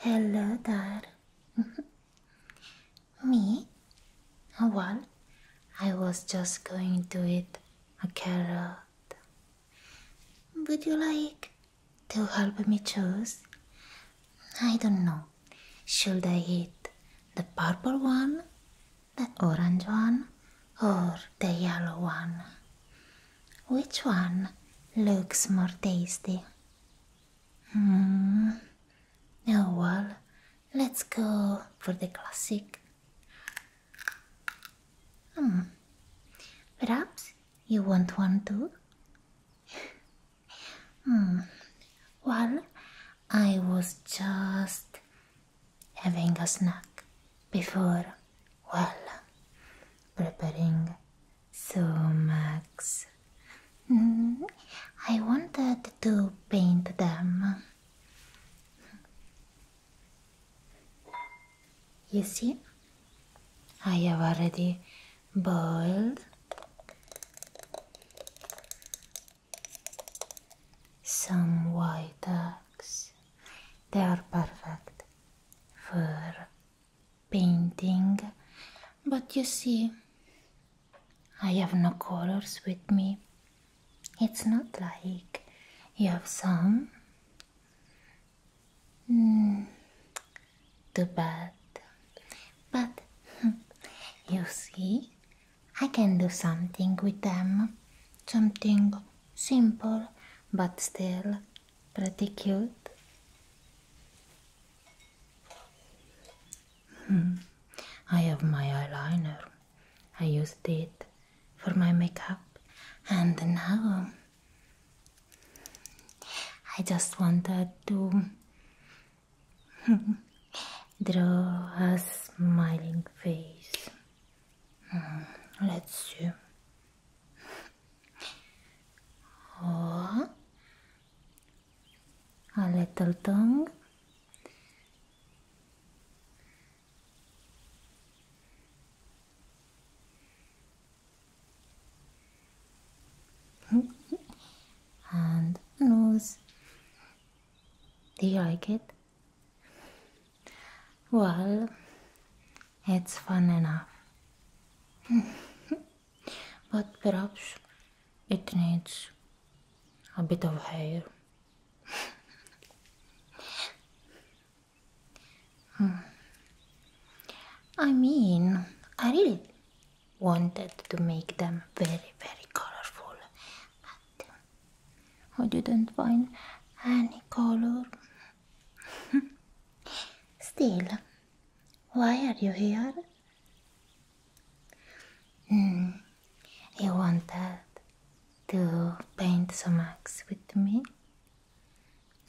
hello Dad. Me? What? I was just going to eat a carrot. Would you like to help me choose? I don't know. Should I eat the purple one, the orange one, or the yellow one? Which one looks more tasty? Hmm. Oh well, let's go for the classic. Hmm. Perhaps you want one too? Hmm. Well, I was just having a snack before, well, preparing some eggs. Hmm, I wanted to paint them. You see, I have already boiled some white eggs. They are perfect for painting, but you see, I have no colors with me. It's not like you have some. Mm, too bad. But you see, I can do something with them. Something simple, but still pretty cute. Hmm. I have my eyeliner. I used it for my makeup, and now I just wanted to Draw a smiling face. Hmm, let's see. Oh, a little tongue and nose. Do you like it? Well, it's fun enough. but perhaps it needs a bit of hair. Hmm. I mean, I really wanted to make them very, very colorful, but I didn't find any color. Still, why are you here? Mm, you wanted to paint some eggs with me?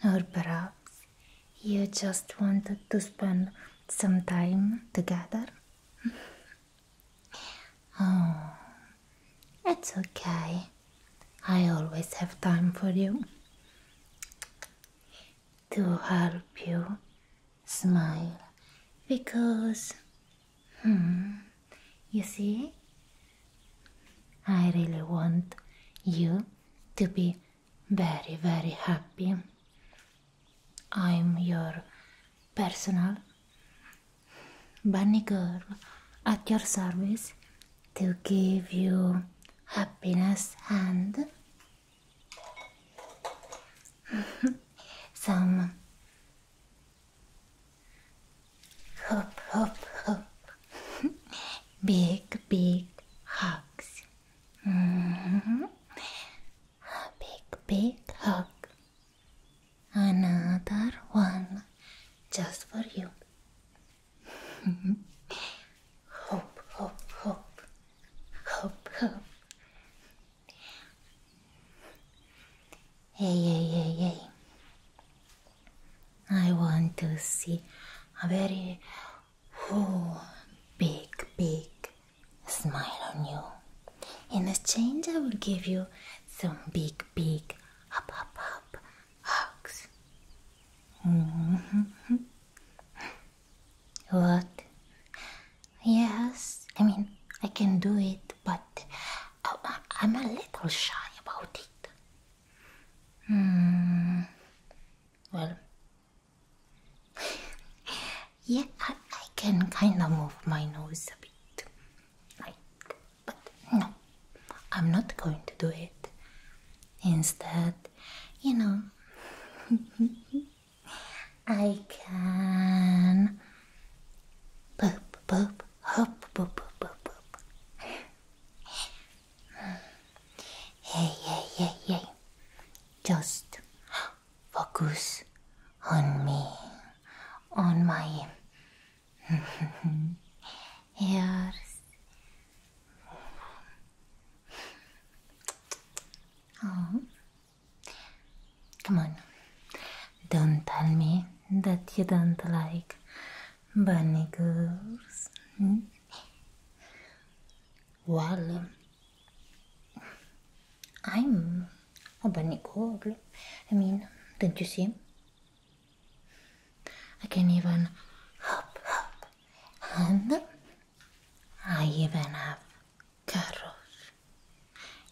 Or perhaps you just wanted to spend some time together? oh, it's okay. I always have time for you. To help you smile because, hmm, you see, I really want you to be very, very happy I'm your personal bunny girl at your service to give you happiness and some hop hop hop big big hugs mm-hmm a big, big hug. Another one just for you. hope, hope, hope, hope, hope. Hey, hey, hey, hey. I want to see a very who big, big smile on you. In exchange, I will give you some big, big up, up, up hugs. Mm-hmm. what? Yes, I mean, I can do it, but I'm a little shy about it. Hmm. Well, yeah, I, can kind of move my nose a bit, like, but no, I'm not going to do it. Instead, you know, I can boop, boop, hop, boop, boop, boop, boop. Hey, hey, hey, hey, just focus on me, on my ears. Oh. Come on, don't tell me that you don't like bunny girls. Hmm? I'm a bunny girl. I mean, don't you see? I can even hop, hop, and I even have carrots.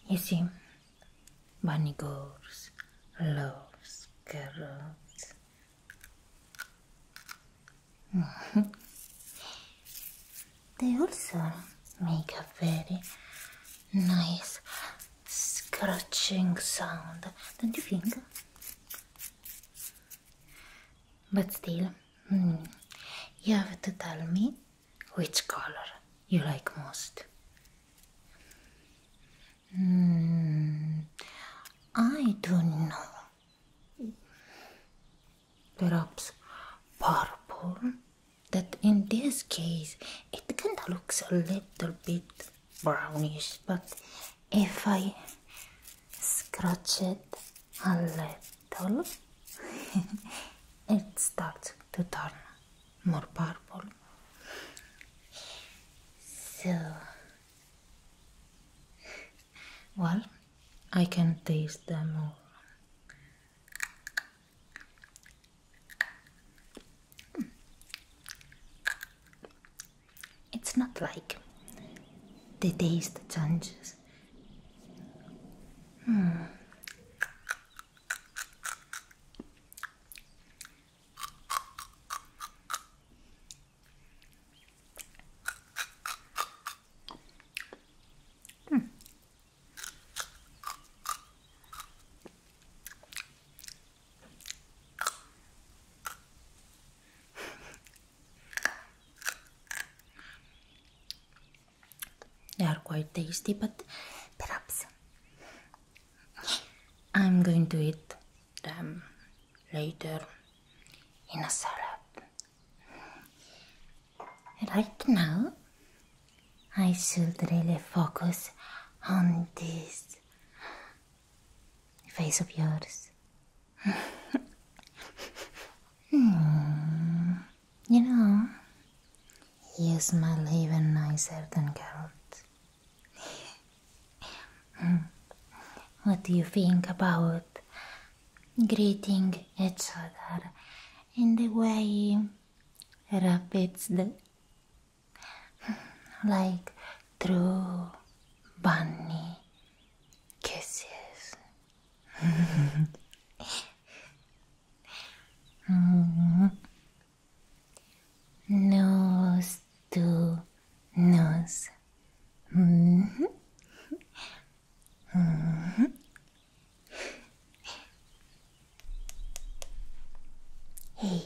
You see, bunny girls loves carrots. they also make a very nice scratching sound, don't you think? But still, hmm, you have to tell me which color you like most. Hmm, I don't know perhaps purple that in this case it kind of looks a little bit brownish but if I scratch it a little it starts to turn more purple so well I can taste them all. It's not like the taste changes. Hmm. Hmm. They are quite tasty, but perhaps I'm going to eat them later in a salad. Right now, I should really focus on this face of yours. Hmm. You know, you smell even nicer than Carrot. Hmm. What do you think about greeting each other in the way rapids like through bunny kisses. nose to nose. Uh-huh. hey,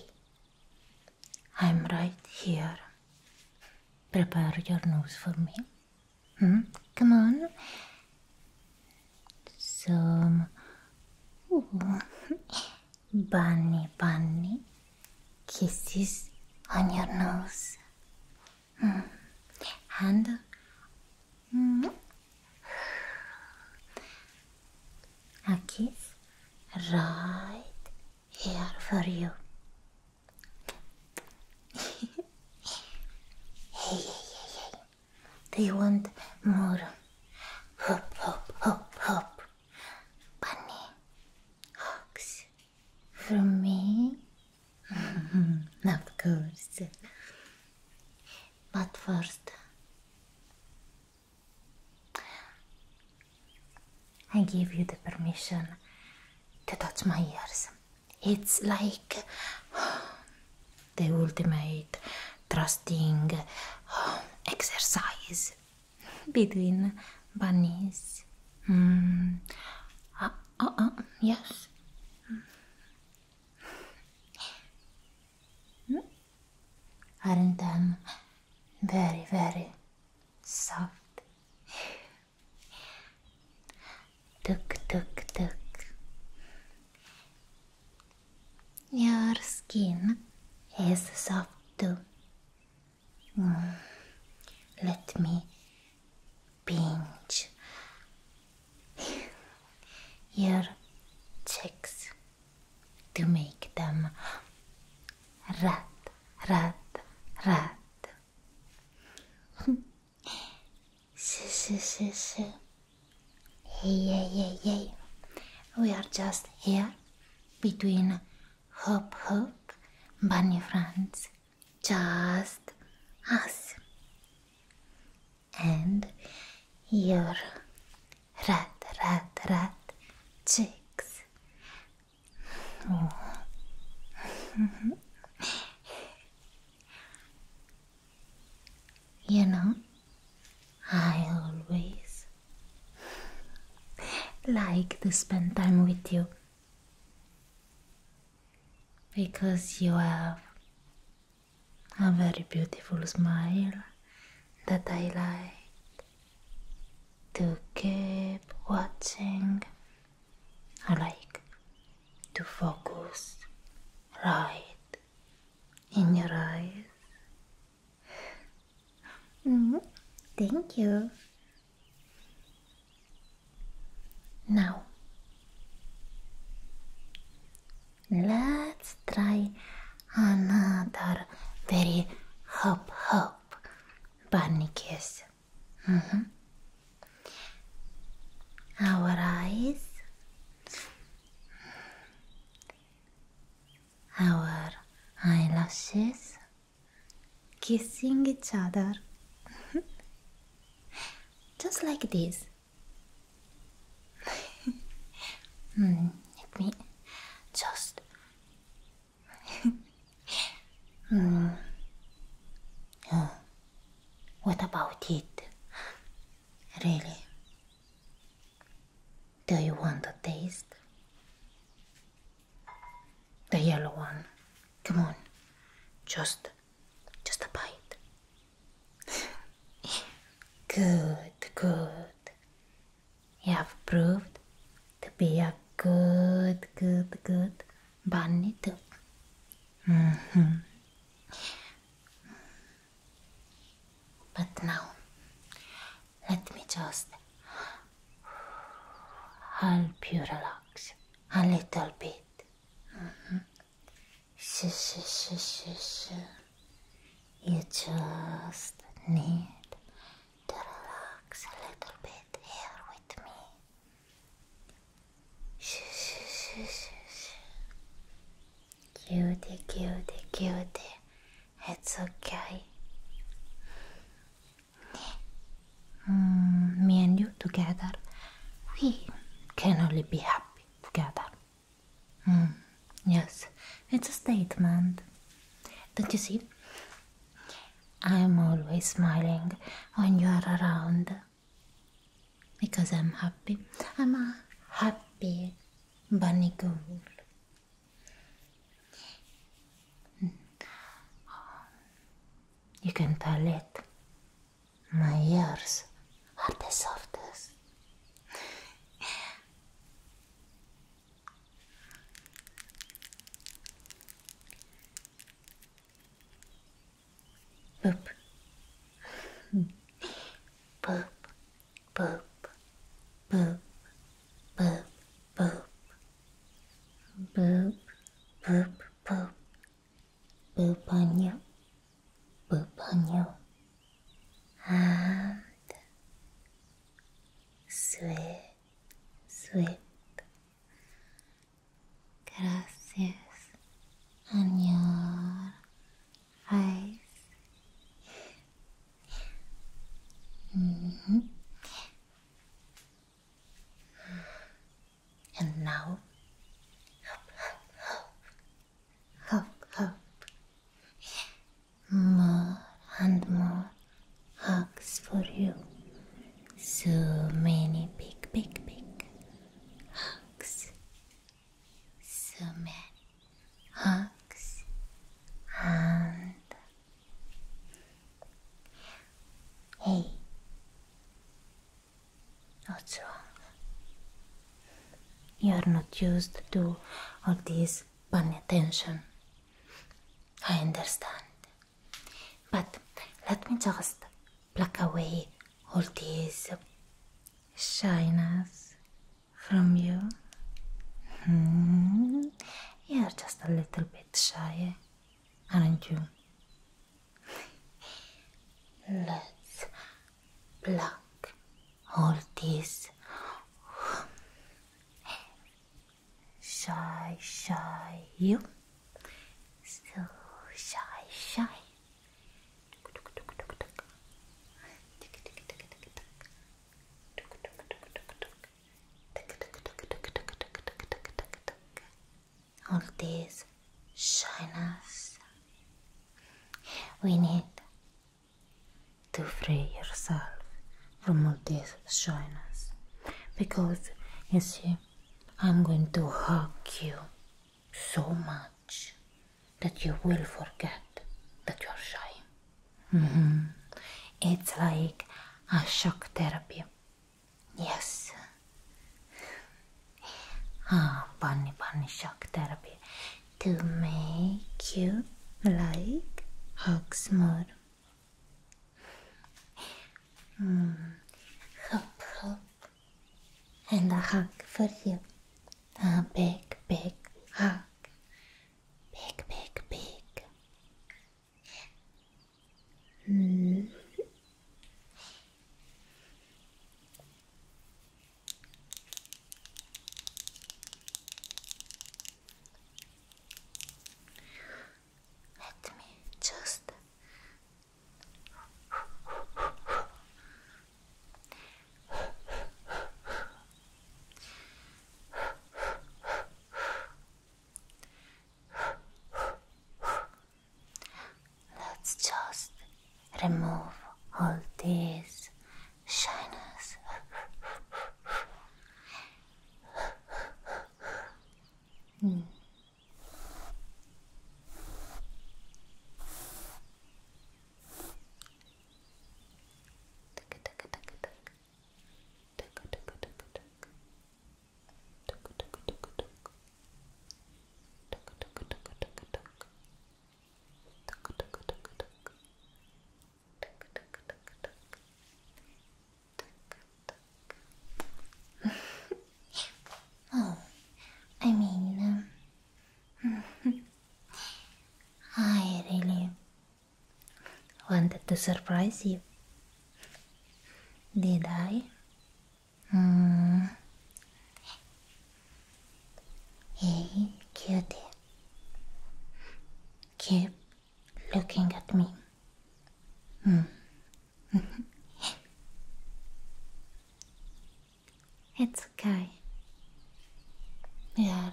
I'm right here. Prepare your nose for me. Hmm? Come on. Some bunny bunny kisses on your nose. Hand, hmm. hmm. a kiss right here for you. hey, hey, hey, hey, they want more. Hop, hop, hop, hop. Bunny hugs for me. Of course. But first, I give you the permission to touch my ears. It's like the ultimate trusting um, exercise between bunnies. Mm. Uh, uh, uh, yes. Mm. Aren't them very, very soft? Tuk, tuk, tuk. Your skin is soft too. Mm. Let me pinch your cheeks to make them red, red, red. Hey, hey, hey, hey. We are just here between Hop Hop Bunny Friends just us and your rat rat rat cheeks. you know, I always like to spend time with you because you have a very beautiful smile that I like to keep watching. I like to focus right in your eyes. Mm-hmm. Thank you. Now, let's try another very hop hop bunny kiss. Mm-hmm. Our eyes, our eyelashes kissing each other. Mm-hmm just like this. Hmm, let me just. mm. oh. What about it? Really? Do you want to taste? The yellow one. Come on, just just a bite. good, good. You have proved to be a good, good, good bunny too. -hmm. But now, let me just help you relax a little bit. Uh-huh. Sh sh sh You just need to relax a little bit here with me. Sh sh sh sh sh. Cutie, cutie, cutie. It's okay. Mm, me and you together, we can only be happy together. Mm, yes, it's a statement. Don't you see? I'm always smiling when you are around because I'm happy. I'm a happy bunny girl. You can tell it. My ears are the softest. Boop. Boop. Boop. Boop. Boop. Boop. Boop. Boop. Boop boop on you, boop on you, sweet, sweet. Gracias on your and now, hope, hope, hope, hope, hope. More and more hugs for you. So many big, big, big hugs. So many hugs and hey, What's wrong? You are not used to all this pun attention. I understand. But let me just pluck away all these shyness from you. Hmm. You're just a little bit shy are you? Let's block all these shy, shy you. So shy, shy all these shyness. We need to free yourself from all this shyness because you see, I'm going to hug you so much that you will forget that you are shy. Mm-hmm. It's like a shock therapy Yes. Ah, bunny, bunny shock therapy to make you like hugs more. Mm. Hop, and a hug for you. A big, big hug. Big, big, big. Hmm. Let me just Let's just remove all these shyness. mm. Tick, tick, tick, tick. Tick, tick, tick, tick. Oh, I mean, um, I really wanted to surprise you. Did I? hey, cutie, keep looking at me. Mm. it's okay. We are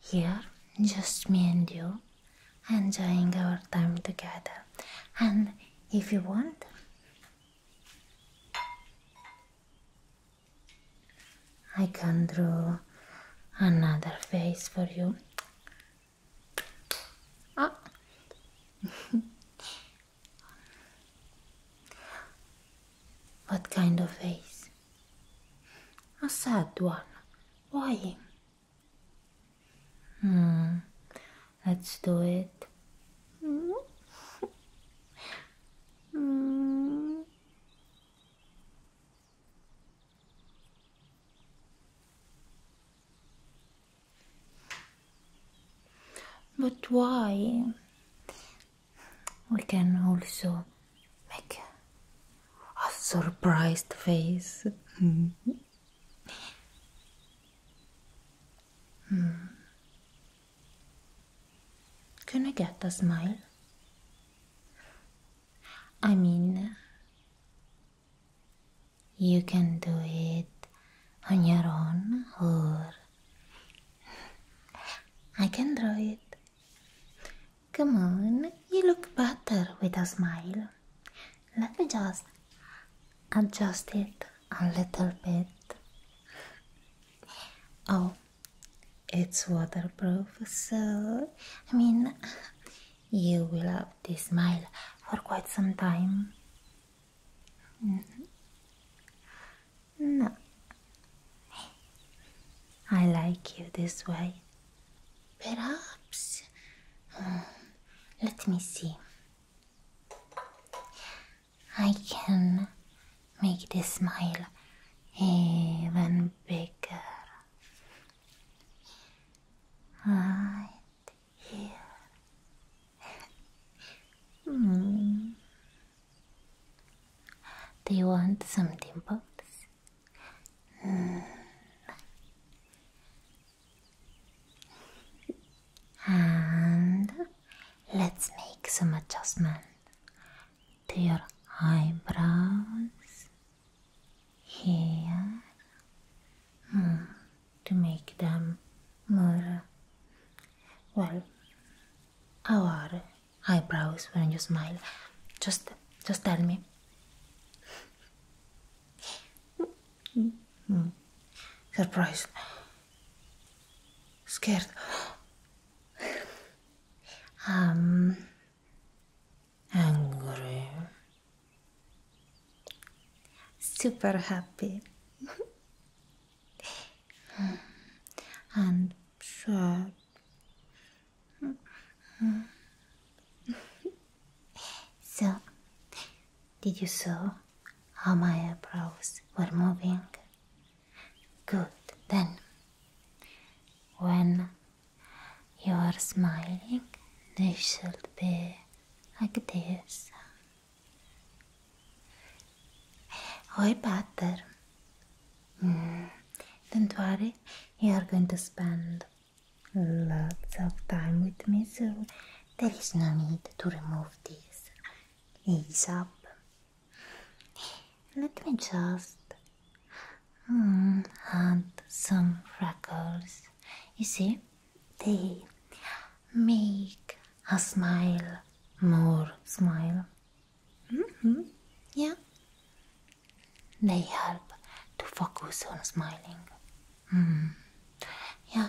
here, just me and you enjoying our time together. And if you want, I can draw another face for you. Oh. what kind of face? A sad one. Why? Hmm. Let's do it. Hmm. But why? We can also make a surprised face. Hmm. Can I get a smile? I mean, you can do it on your own, or I can draw it. Come on, you look better with a smile. Let me just adjust it a little bit. Oh, it's waterproof, so I mean, you will have this smile for quite some time. Mm-hmm. No, I like you this way. Perhaps, hmm, let me see. I can make this smile even bigger. Right here. Hmm. Do you want some dimples? And let's make some adjustment to your eyebrows here hmm, to make them more well our eyebrows when you smile just just tell me Mm. Surprised. Scared. um. Angry. Super happy. and sad. so, did you saw how my eyebrows were moving? Good, then. When you are smiling, they should be like this. Way better. Mm. Don't worry, you are going to spend lots of time with me, so there is no need to remove this. Ease up. Let me just mm, add some freckles. You see, they make a smile more smile. Mm-hmm, yeah. They help to focus on smiling. Mm. Ya.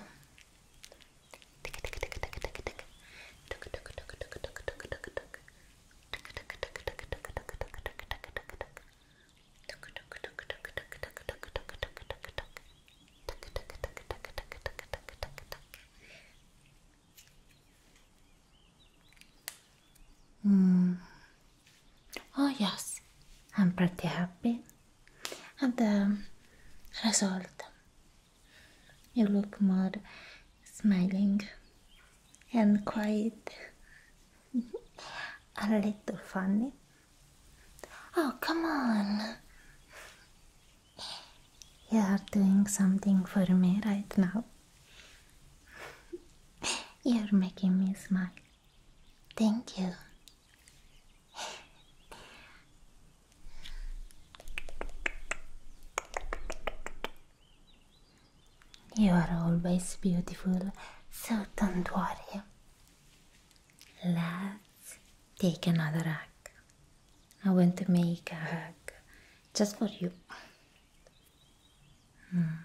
Hmm. Oh yes, I'm pretty happy The result you look more smiling and quite a little funny oh come on you are doing something for me right now you're making me smile thank you you are always beautiful, so don't worry. Let's take another hug. I want to make a hug just for you. Mm.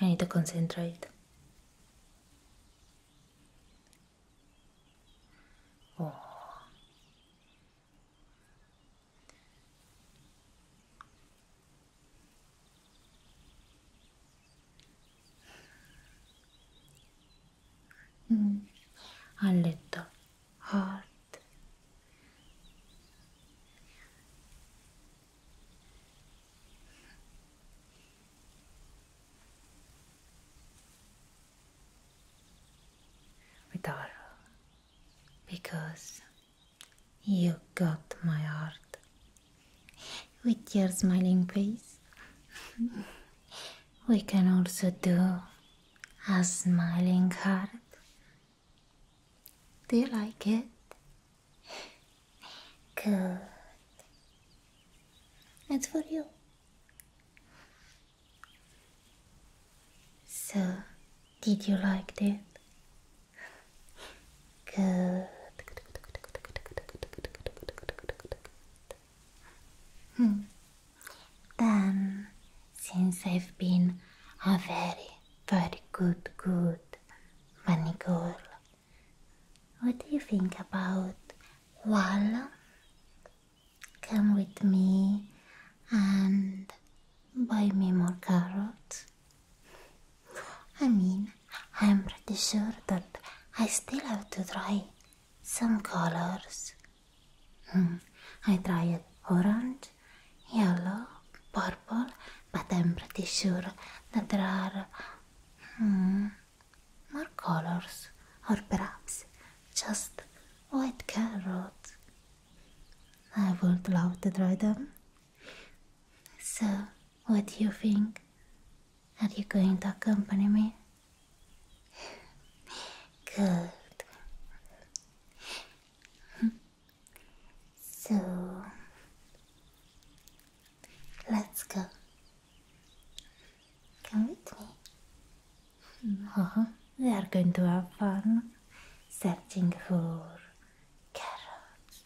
I need to concentrate. Oh. Mm. A little hard with all because you got my heart with your smiling face. we can also do a smiling heart. Do you like it? Good. It's for you. So, did you like that? Good. Hmm. Then, since I've been a very, very good, good money girl, what do you think about Walla? Come with me and buy me more carrots. I mean, I'm pretty sure that I still have to try some colors. Hmm, I tried orange, yellow, purple, but I'm pretty sure that there are Hmm. more colors, or perhaps just white carrots. I would love to try them. So, what do you think? Are you going to accompany me? Good. Hmm. So, Let's go. Come with me. we are going to have fun searching for carrots.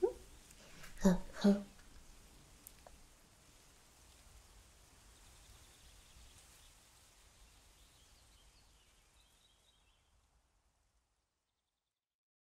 Hmm? Oh, oh.